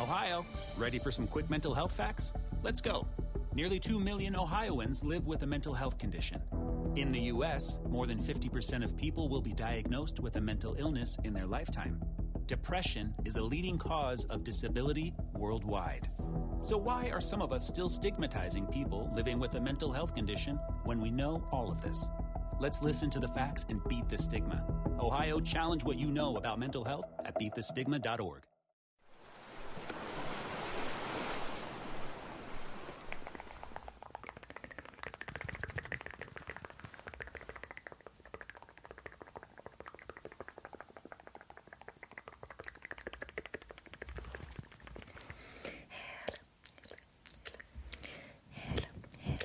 Ohio, ready for some quick mental health facts? Let's go. Nearly 2 million Ohioans live with a mental health condition. In the U.S., more than 50% of people will be diagnosed with a mental illness in their lifetime. Depression is a leading cause of disability worldwide. So, why are some of us still stigmatizing people living with a mental health condition when we know all of this? Let's listen to the facts and beat the stigma. Ohio, challenge what you know about mental health at beatthestigma.org.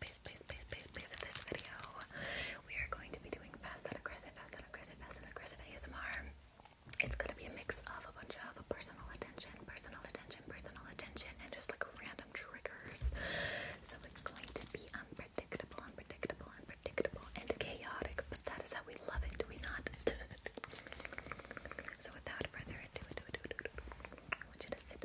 base, base, base, base, base, of this video, we are going to be doing fast and aggressive, fast and aggressive, fast and aggressive ASMR. It's gonna be a mix of a bunch of personal attention, personal attention, personal attention, and just like random triggers. So it's going to be unpredictable, unpredictable, unpredictable, and chaotic. But that is how we love it, do we not? so without further ado, I want you to sit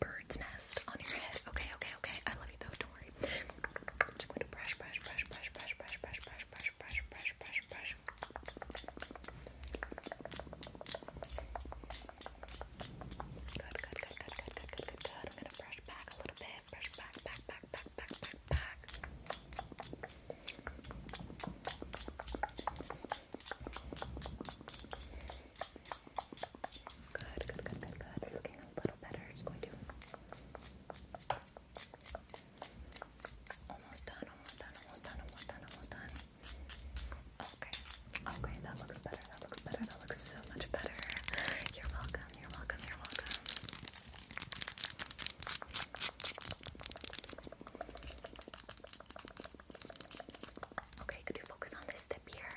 bird's nest on your head. Okay, okay, okay. I love you though. Don't worry. just going to brush, brush, brush, brush, brush, brush, brush, brush, brush, brush, brush, brush, brush. good, good, good, good, good, good, good, good. I'm gonna brush back a little bit. Brush back, back, back, back, back, back, back. Good, good, good, good, good. It's looking a little better. It's going to. Almost done, almost done, almost done, almost done, almost done. Okay, okay, that looks better, that looks better, that looks so much better. You're welcome, you're welcome, you're welcome. Okay, could you focus on this step here?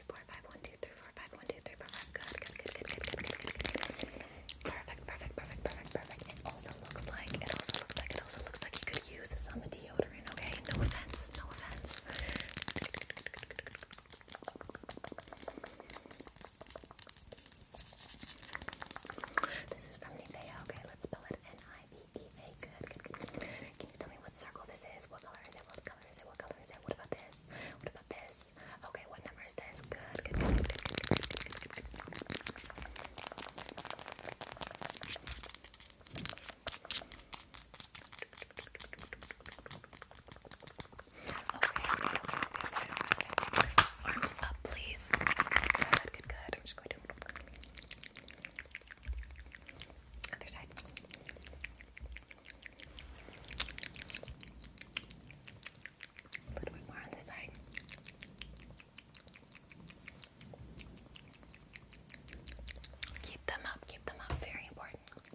three, four, five, one, two, three, four, five, one, two, three, four, five. Good, good, good, good, good, good, good, good, good. Perfect, perfect, perfect, perfect, perfect. It also looks like it also looks like it also looks like you could use some deodorant. Okay, no offense, no offense. This is from Nivea. Okay, let's spell it N-I-V-E-A. Good, good, good. Can you tell me what circle this is? What color is it? What color is it? What color is it? What about this? What about this? Okay, what number is this? Good, good, good, good, good, good, Okay, arms up, please. Good, good, good. I'm just going to other side. A little bit more on the side. Keep them up, keep them up, very important. Okay,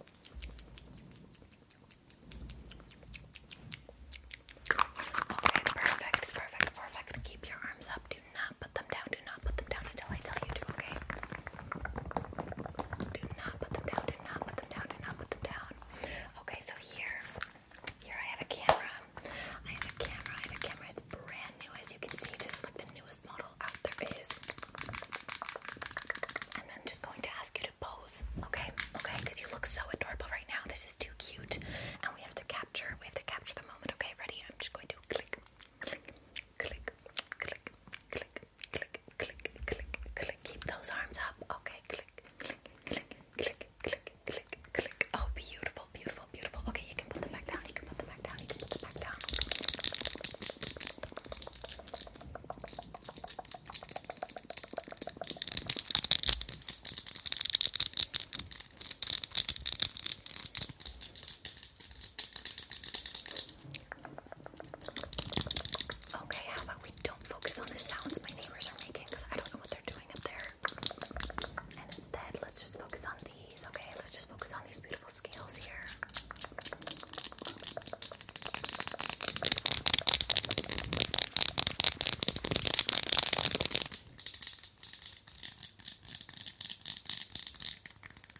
perfect, perfect, perfect. Keep your arms up. Do not put them down. Do not put them down until I tell you to, okay? Do not put them down, do not put them down, do not put them down. Okay, so here, here I have a camera. I have a camera, I have a camera, it's brand new as you can see. This is like the newest model out there is. And I'm just going to ask you to pose, okay? Okay, because you look so adorable right now. This is too cute. And we have to capture, we have to capture the moment. Okay, ready? I'm just going to click, click, click, click, click, click, click, click. Keep those arms up. Okay, click, click, click, click, click, click, click. Oh, beautiful, beautiful, beautiful. Okay, you can put them back down. You can put them back down. You can put them back down. Okay, how about we don't focus on the sounds my neighbors are making because I don't know what they're doing up there. And instead, let's just focus on these, okay? Let's just focus on these beautiful scales here.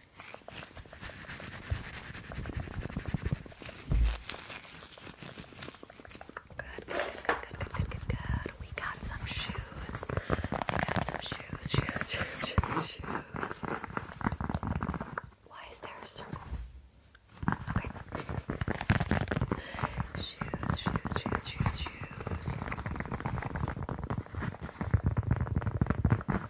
Good, good, good, good, good, good, good, good. We got some shoes. We got some shoes, shoes, shoes, shoes, shoes. Why is there a circle? Okay. Shoes, shoes, shoes, shoes, shoes.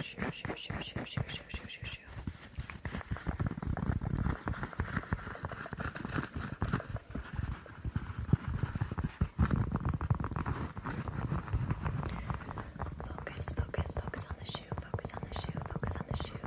Shoo, shoo, shoo, shoo, shoo, shoo, shoo, shoo. Focus, focus, focus on the shoe, focus on the shoe, focus on the shoe.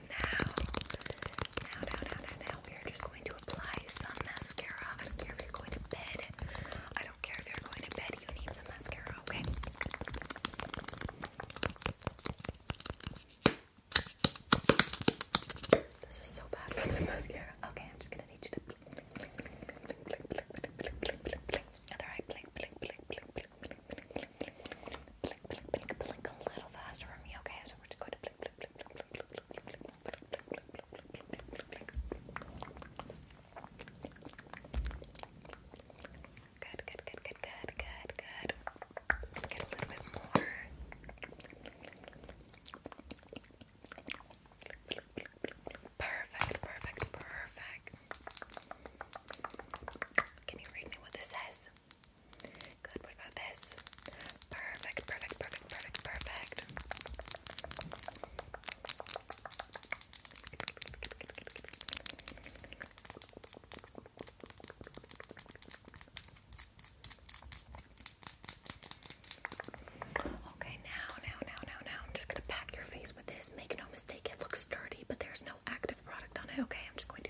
now, now, now, now, now, we are just going to apply some mascara. I don't care if you're going to bed. I don't care if you're going to bed. You need some mascara, okay? This is so bad for this mascara. Okay, I'm just gonna need you to other eye blink, blink, blink, blink, blink, blink, blink, blink, blink, blink, blink, blink, blink, blink, blink a little faster for me. Okay, so we're just going to blink, Good, good, good, good, good, good, good. Get a little bit more. Perfect, perfect, perfect. Can you read me what this says? Good, what about this? Perfect, perfect, perfect, perfect, perfect. Okay, now, now, now, now, now, I'm just gonna pack your face with this. Make no mistake, it looks dirty, but there's no active product on it. Okay, I'm just going to.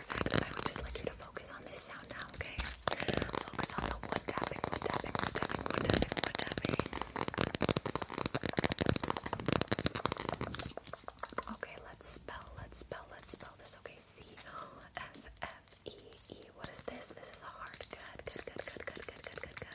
I would just like you to focus on this sound now, okay? Focus on the wood tapping, wood tapping, wood tapping, wood tapping, wood tapping. Okay, let's spell, let's spell, let's spell this. Okay, C F F E E. What is this? This is a hard Good, good, good, good, good, good, good, good, good.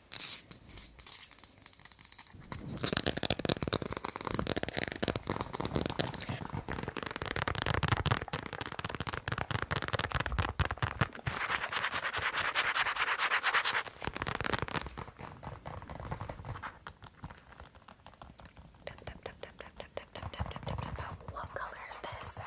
What color is this?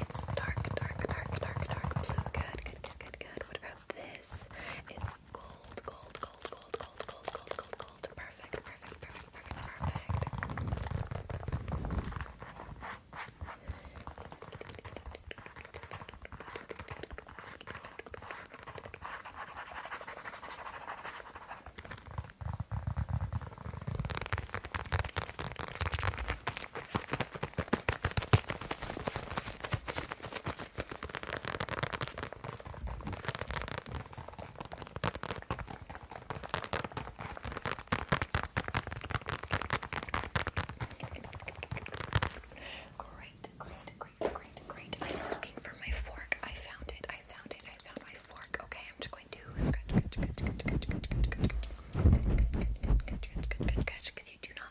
It's dark, dark, dark, dark, dark blue. Good, good, good, good, good. What about this. It's gold, gold, gold, gold, gold, gold, gold, gold, gold. Perfect, perfect, perfect, perfect, perfect. Great, great, great, great, great. I'm looking for my fork. I found it. I found it. I found my fork. Okay, I'm just going to scratch, scratch, scratch, scratch, scratch, scratch, scratch, scratch, scratch, scratch, scratch, scratch, scratch, scratch, scratch, scratch, scratch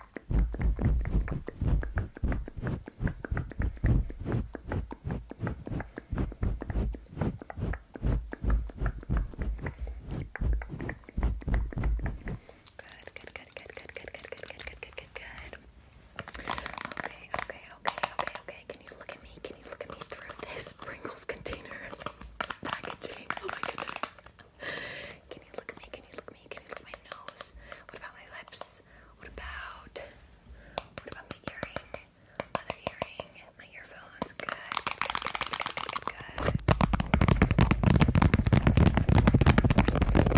good, good, good, good, good, good, good, good, good, good, good. Okay, okay, okay, okay, okay. Can you look at me? Can you look at me through this Pringles container packaging? Oh my goodness. Can you look at me? Can you look at me? Can you look at my nose? What about my lips? What about what about my earring? Other earring? My earphones? Good. Good. Repeat after me. Repeat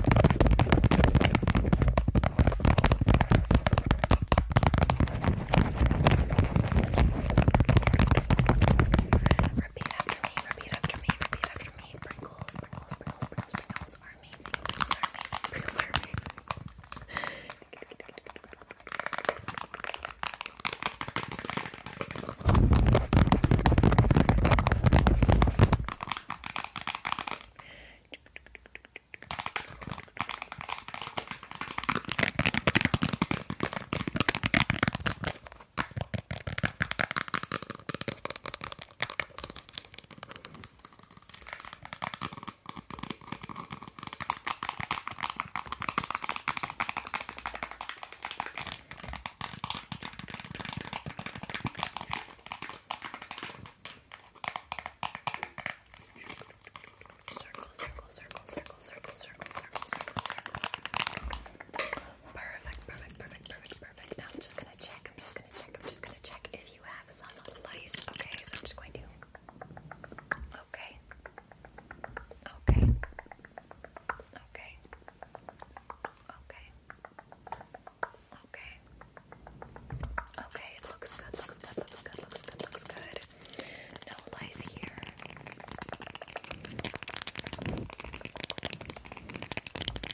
after me. Repeat after me right, Pringles, Pringles, Pringles, Pringles, are amazing. Pringles are amazing. Pringles are amazing. Circle, circle, circle, circle, circle, circle, circle, circle, circle. Perfect, perfect, perfect, perfect, perfect. Now I'm just gonna check, I'm just gonna check, I'm just gonna check if you have some lice. Okay, so I'm just going to. Okay. Okay. Okay. Okay. Okay. Okay, it looks good, looks good, looks good, looks good, looks good. No lies here.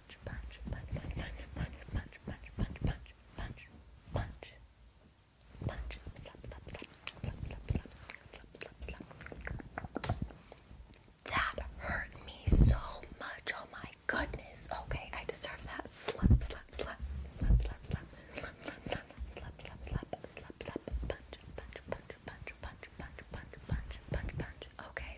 punch, punch, punch, punch, punch, punch, punch, punch, punch, punch, punch, punch, slap, slap, slap, slap, slap, slap, slap, slap, slap. That hurt me so much. Oh my goodness. Okay, I deserve that. Slap, slap, slap, slap, slap, slap, slap, slap, slap, slap, slap, slap, slap, punch, punch, punch, punch, punch, punch, punch, punch, punch, punch. Okay.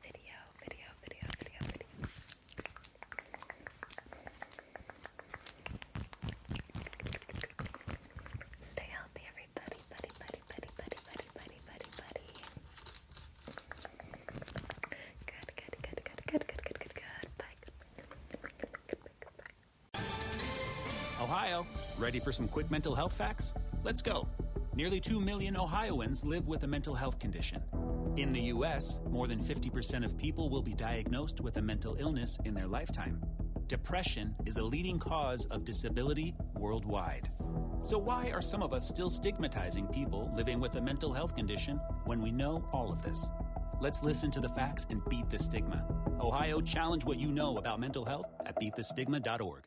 video, video, video, video, video. Stay healthy, everybody, buddy, buddy, buddy, buddy, buddy, buddy, buddy, buddy. Good, good, good, good, good, good, good, good, good. Bye. Ohio, ready for some quick mental health facts? Let's go. Nearly 2 million Ohioans live with a mental health condition. In the U.S., more than 50% of people will be diagnosed with a mental illness in their lifetime. Depression is a leading cause of disability worldwide. So, why are some of us still stigmatizing people living with a mental health condition when we know all of this? Let's listen to the facts and beat the stigma. Ohio, challenge what you know about mental health at beatthestigma.org.